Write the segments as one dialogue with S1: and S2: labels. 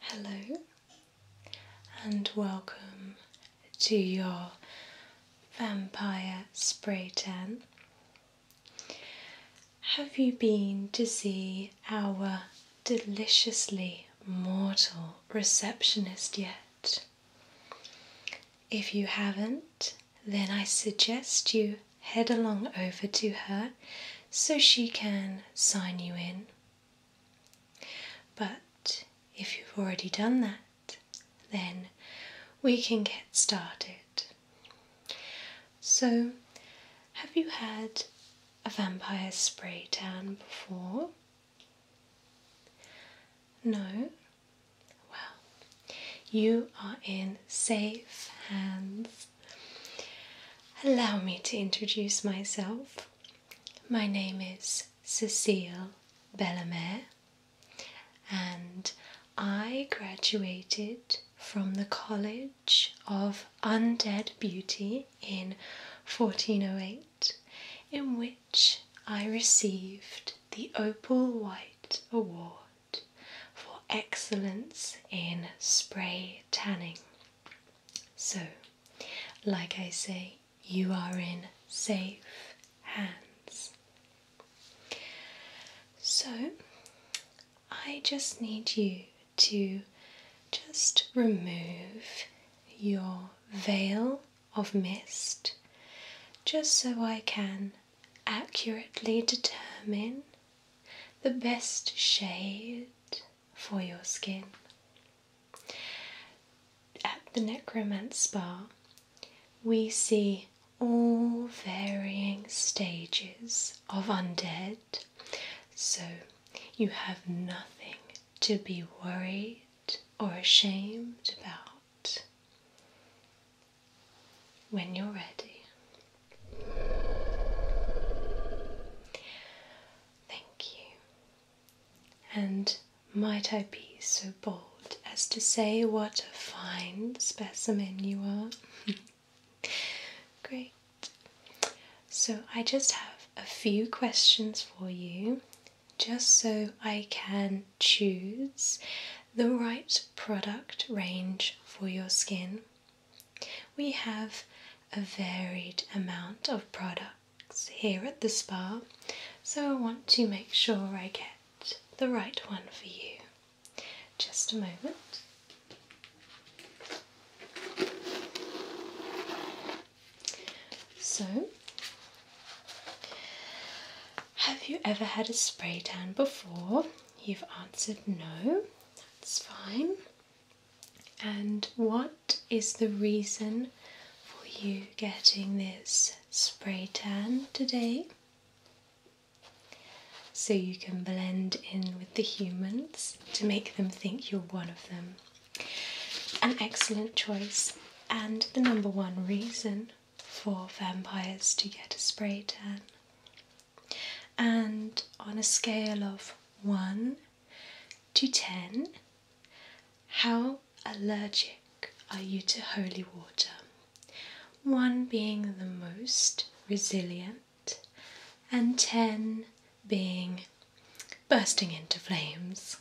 S1: Hello and welcome to your vampire spray tan. Have you been to see our deliciously mortal receptionist yet? If you haven't, then I suggest you head along over to her so she can sign you in. But if you've already done that, then we can get started. So, have you had a vampire spray tan before? No? Well, you are in safe hands. Allow me to introduce myself. My name is Cecile Bellamere, and I graduated from the College of Undead Beauty in 1408, in which I received the Opal White Award for excellence in spray tanning. So, like I say, you are in safe hands. So, I just need you to just remove your veil of mist just so I can accurately determine the best shade for your skin. At the Necromance Spa, we see all varying stages of undead, so you have nothing to be worried or ashamed about when you're ready. Thank you. And might I be so bold as to say what a fine specimen you are? Great. So, I just have a few questions for you, just so I can choose the right product range for your skin we have a varied amount of products here at the spa, so I want to make sure I get the right one for you. Just a moment. So, have you ever had a spray tan before? You've answered no, that's fine. And what is the reason for you getting this spray tan today? So you can blend in with the humans to make them think you're one of them. An excellent choice, and the number one reason for vampires to get a spray tan. And on a scale of 1 to 10, how allergic are you to holy water? 1 being the most resilient, and 10 being bursting into flames.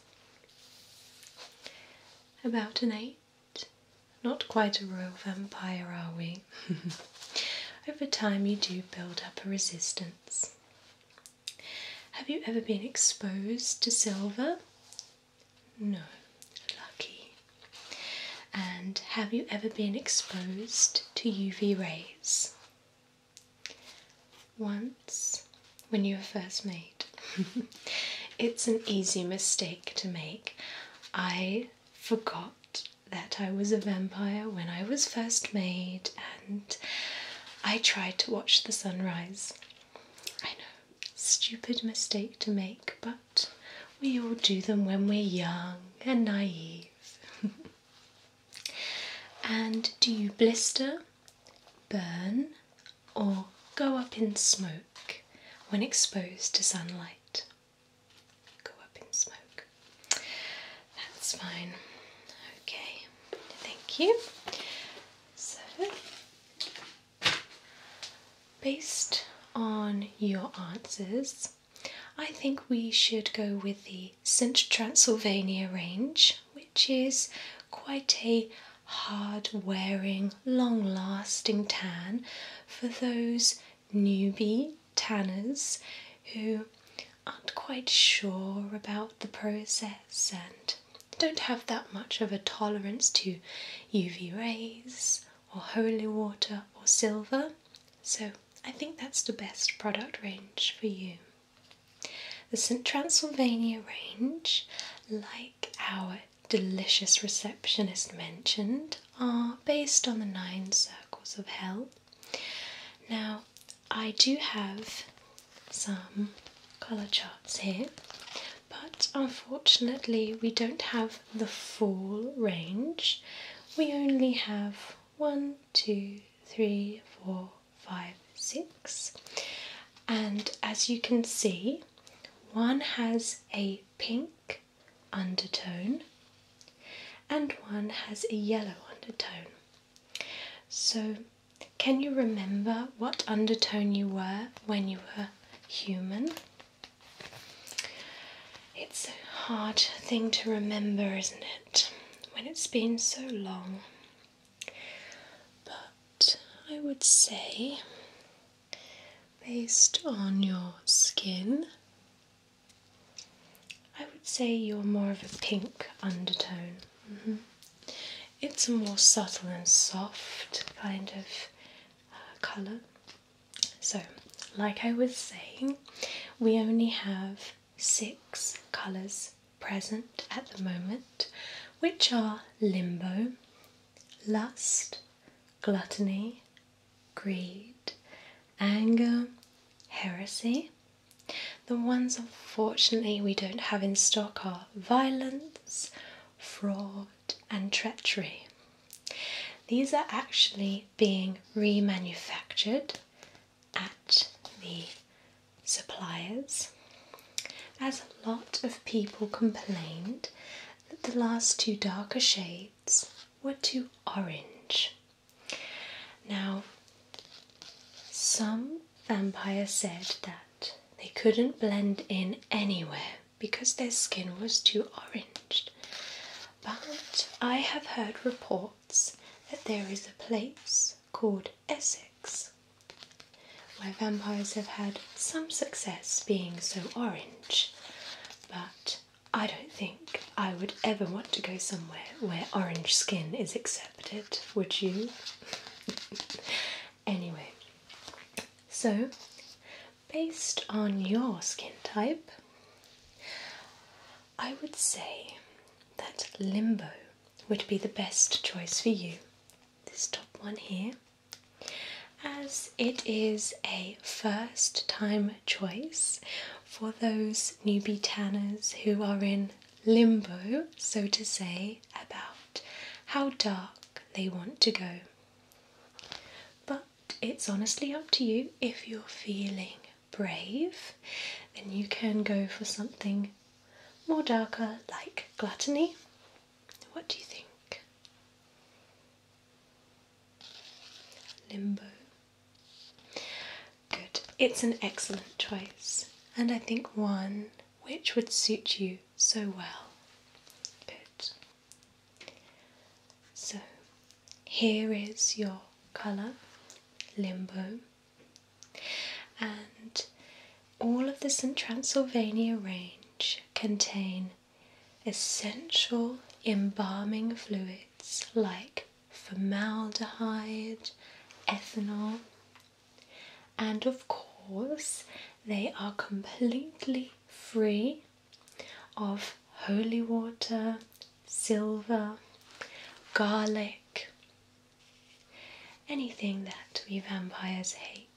S1: About an 8. Not quite a royal vampire, are we? Over time, you do build up a resistance. Have you ever been exposed to silver? No, lucky. And have you ever been exposed to UV rays? Once, when you were first made. it's an easy mistake to make. I forgot that I was a vampire when I was first made, and I tried to watch the sunrise. I know, stupid mistake to make, but we all do them when we're young and naive. and do you blister, burn, or go up in smoke when exposed to sunlight? go up in smoke. That's fine. Okay, thank you. So, based on your answers, I think we should go with the St. Transylvania range, which is quite a hard wearing, long lasting tan for those newbie tanners who aren't quite sure about the process and don't have that much of a tolerance to UV rays or holy water or silver. So I think that's the best product range for you. The Transylvania range, like our delicious receptionist mentioned are based on the nine circles of hell. Now, I do have some colour charts here, but unfortunately, we don't have the full range. We only have one, two, three, four, five, six, and as you can see, one has a pink undertone and one has a yellow undertone. So, can you remember what undertone you were when you were human? It's a hard thing to remember, isn't it, when it's been so long? But I would say Based on your skin, I would say you're more of a pink undertone. Mm-hmm. It's a more subtle and soft kind of uh, colour. So, like I was saying, we only have six colours present at the moment, which are Limbo, Lust, gluttony, greed, anger, heresy. The ones unfortunately we don't have in stock are violence, fraud, and treachery. These are actually being remanufactured at the suppliers. As a lot of people complained that the last two darker shades were too orange. Now, some vampires said that they couldn't blend in anywhere because their skin was too orange. But I have heard reports that there is a place called Essex where vampires have had some success being so orange but I don't think I would ever want to go somewhere where orange skin is accepted, would you? anyway, so based on your skin type, I would say that limbo would be the best choice for you. This top one here as it is a first time choice for those newbie tanners who are in limbo, so to say, about how dark they want to go. But it's honestly up to you if you're feeling brave, then you can go for something more darker like gluttony what do you think? Limbo. Good. It's an excellent choice, and I think one which would suit you so well. Good. So, here is your colour, Limbo, and all of the St. Transylvania range contain essential embalming fluids like formaldehyde, ethanol, and of course, they are completely free of holy water, silver, garlic, anything that we vampires hate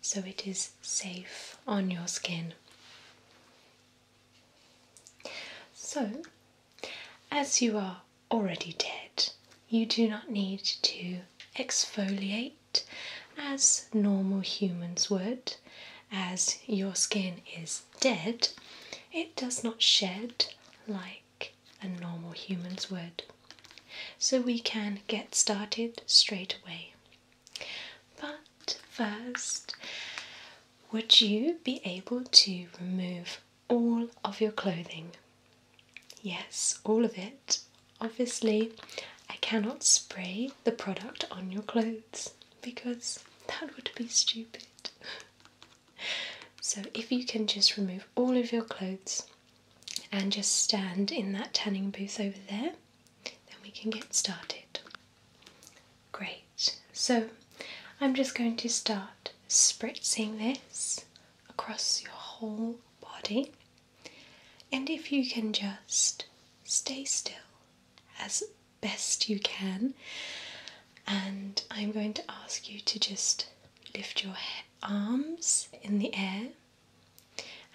S1: so it is safe on your skin. So, as you are already dead, you do not need to exfoliate as normal humans would. As your skin is dead, it does not shed like a normal human's would so we can get started straight away. But first, would you be able to remove all of your clothing? Yes, all of it. Obviously, I cannot spray the product on your clothes because that would be stupid. So, if you can just remove all of your clothes, and just stand in that tanning booth over there, then we can get started. Great, so I'm just going to start spritzing this across your whole body, and if you can just stay still as best you can, and I'm going to ask you to just lift your arms in the air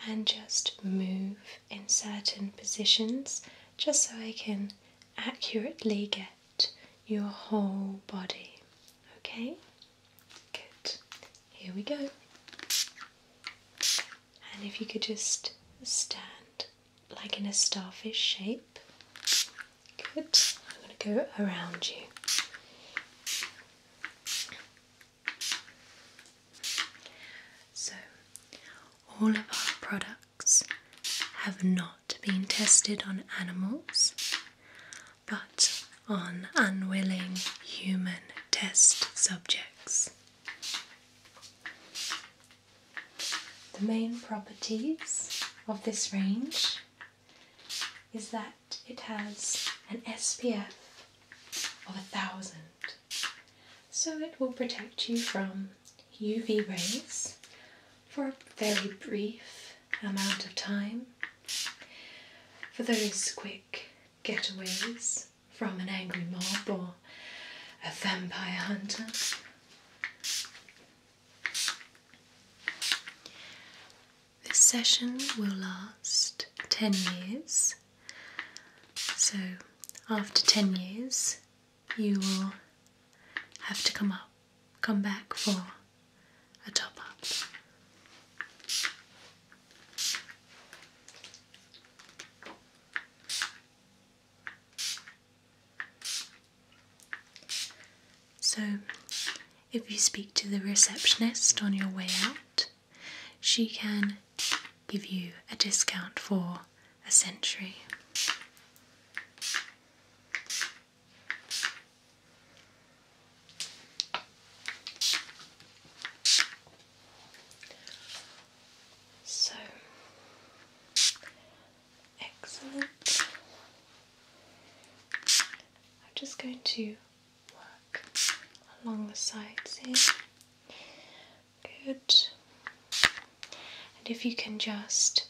S1: and just move in certain positions just so I can accurately get your whole body. Okay? Good. Here we go. And if you could just stand like in a starfish shape. Good. I'm going to go around you. So, all of our products have not been tested on animals but on unwilling human test subjects. The main properties of this range is that it has an SPF of a thousand, so it will protect you from UV rays for a very brief amount of time. For those quick getaways from an angry mob or a vampire hunter. This session will last 10 years. So, after 10 years, you will have to come up, come back for a top up. So, if you speak to the receptionist on your way out, she can give you a discount for a century. So excellent. I'm just going to work along the sides here. Good. And if you can just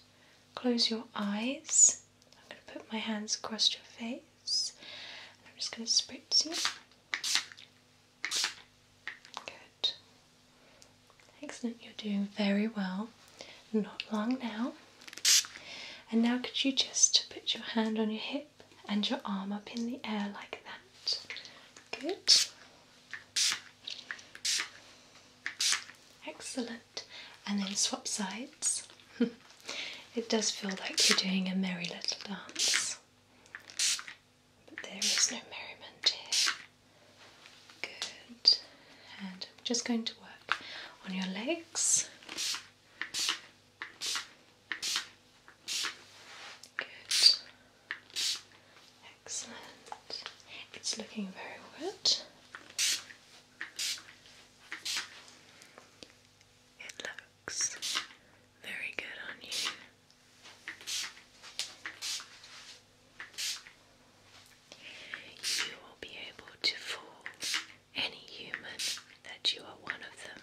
S1: close your eyes, I'm going to put my hands across your face I'm just going to spritz you. Good. Excellent, you're doing very well. Not long now. And now, could you just put your hand on your hip? and your arm up in the air like that. Good. Excellent. And then swap sides. it does feel like you're doing a merry little dance. But there is no merriment here. Good. And I'm just going to work on your legs. Good. Excellent. It's looking very wet. It looks very good on you. You will be able to fall any human that you are one of them.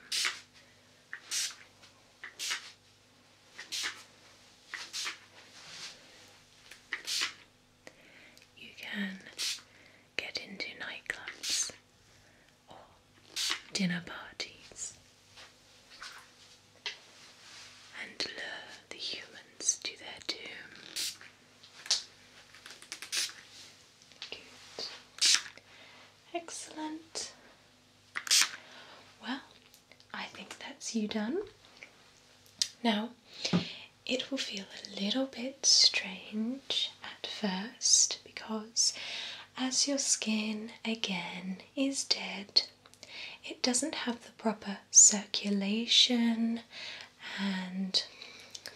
S1: You can get into nightclubs or dinner parties and lure the humans to their doom. Good. Excellent. Well,
S2: I think that's you done.
S1: Now, it will feel a little bit strange at first because as your skin again is dead, it doesn't have the proper circulation and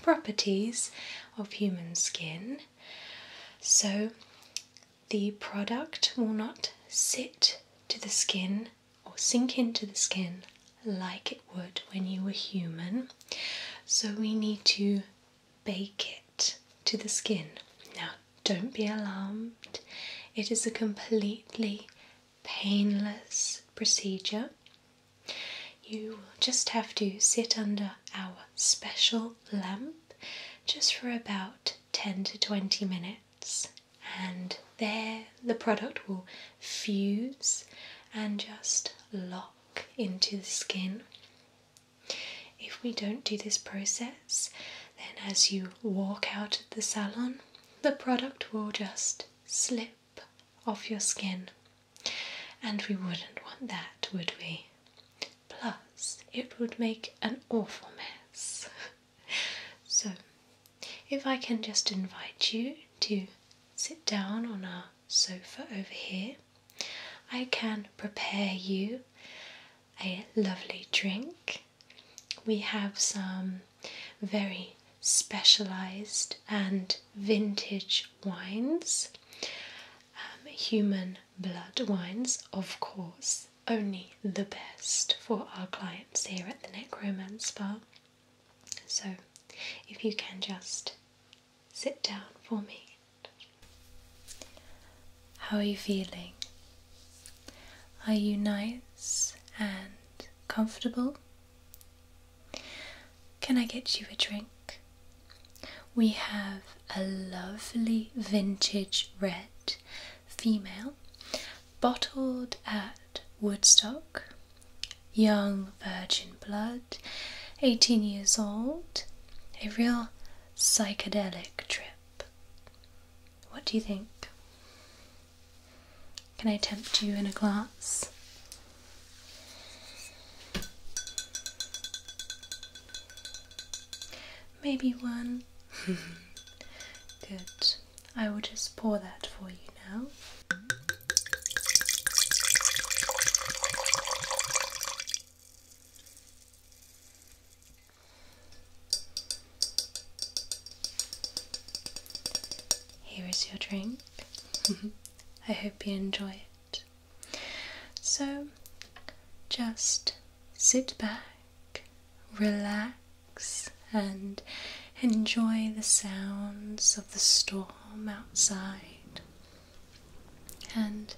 S1: properties of human skin. So the product will not sit to the skin or sink into the skin like it would when you were human. So we need to bake it to the skin. Now, don't be alarmed, it is a completely painless procedure. You will just have to sit under our special lamp just for about 10 to 20 minutes, and there the product will fuse and just lock into the skin. If we don't do this process, then as you walk out of the salon, the product will just slip off your skin, and we wouldn't want that, would we? Plus, it would make an awful mess. so, if I can just invite you to sit down on our sofa over here, I can prepare you a lovely drink. We have some very specialized and vintage wines, um, human blood wines, of course, only the best for our clients here at the Necromance Bar. So, if you can just sit down for me. How are you feeling? Are you nice and comfortable? Can I get you a drink? We have a lovely vintage red female bottled at Woodstock, young virgin blood, 18 years old, a real psychedelic trip. What do you think? Can I tempt you in a glass? Maybe one. Good. I will just pour that for you now. Here is your drink. I hope you enjoy it. So just sit back, relax, and enjoy the sounds of the storm outside. And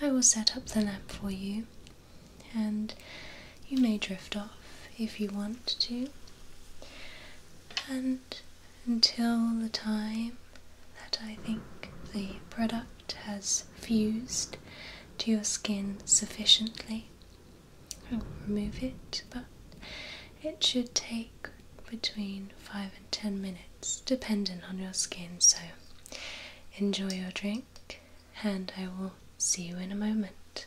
S1: I will set up the lamp for you, and you may drift off if you want to. And until the time that I think the product has fused to your skin sufficiently. remove it, but it should take between 5 and 10 minutes, dependent on your skin. So enjoy your drink, and I will see you in a moment.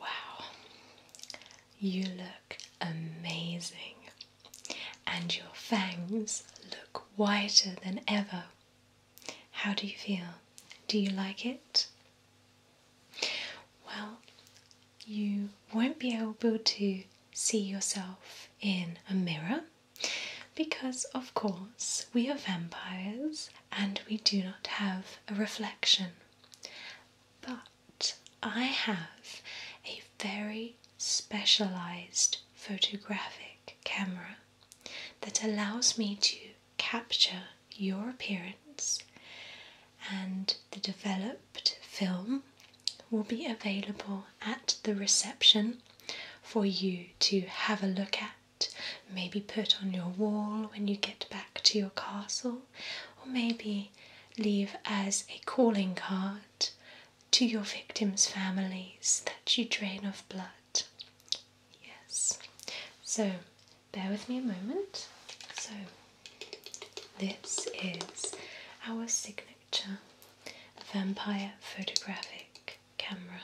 S1: Wow, you look amazing, and your fangs look whiter than ever. How do you feel? Do you like it? Well, you won't be able to see yourself in a mirror because, of course, we are vampires and we do not have a reflection. But I have a very specialized photographic camera that allows me to capture your appearance, and the developed film will be available at the reception for you to have a look at, maybe put on your wall when you get back to your castle, or maybe leave as a calling card to your victims' families that you drain of blood. Yes, so bear with me a moment. So, this is our signature vampire photographic camera,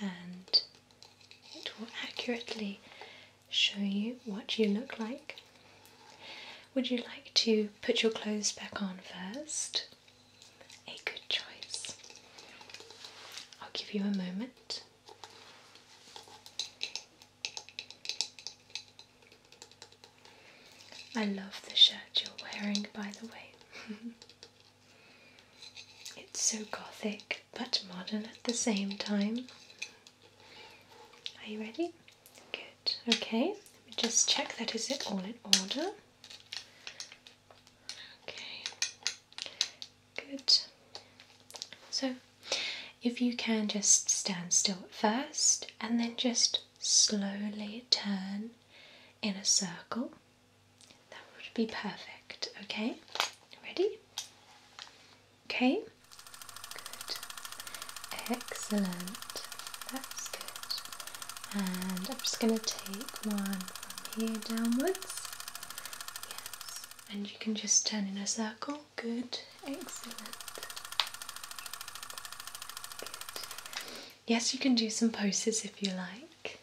S1: and it will accurately show you what you look like. Would you like to put your clothes back on first? A good choice. I'll give you a moment. I love the shirt you're wearing, by the way. it's so gothic but modern at the same time. Are you ready? Good. Okay, let me just check that is it all in order. Okay, Good. So, if you can just stand still at first and then just slowly turn in a circle, that would be perfect. Okay, ready? Okay, good. Excellent. That's good. And I'm just going to take one from here downwards. Yes, and you can just turn in a circle. Good, excellent. Yes, you can do some poses if you like.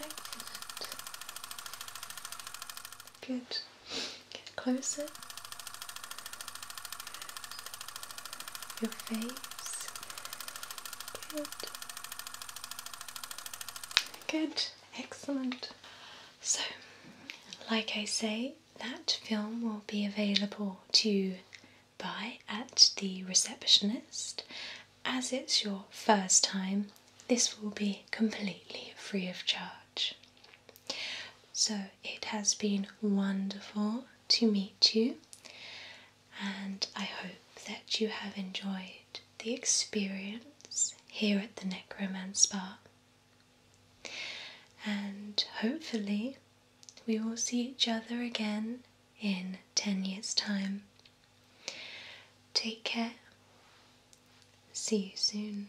S1: Excellent. Good. Get closer. Your face. Good. Excellent. So, like I say, that film will be available to buy at the receptionist. As it's your first time, this will be completely free of charge. So, it has been wonderful to meet you, and I hope that you have enjoyed the experience here at the Necromance Bar. And hopefully, we will see each other again in 10 years' time. Take care. See you soon.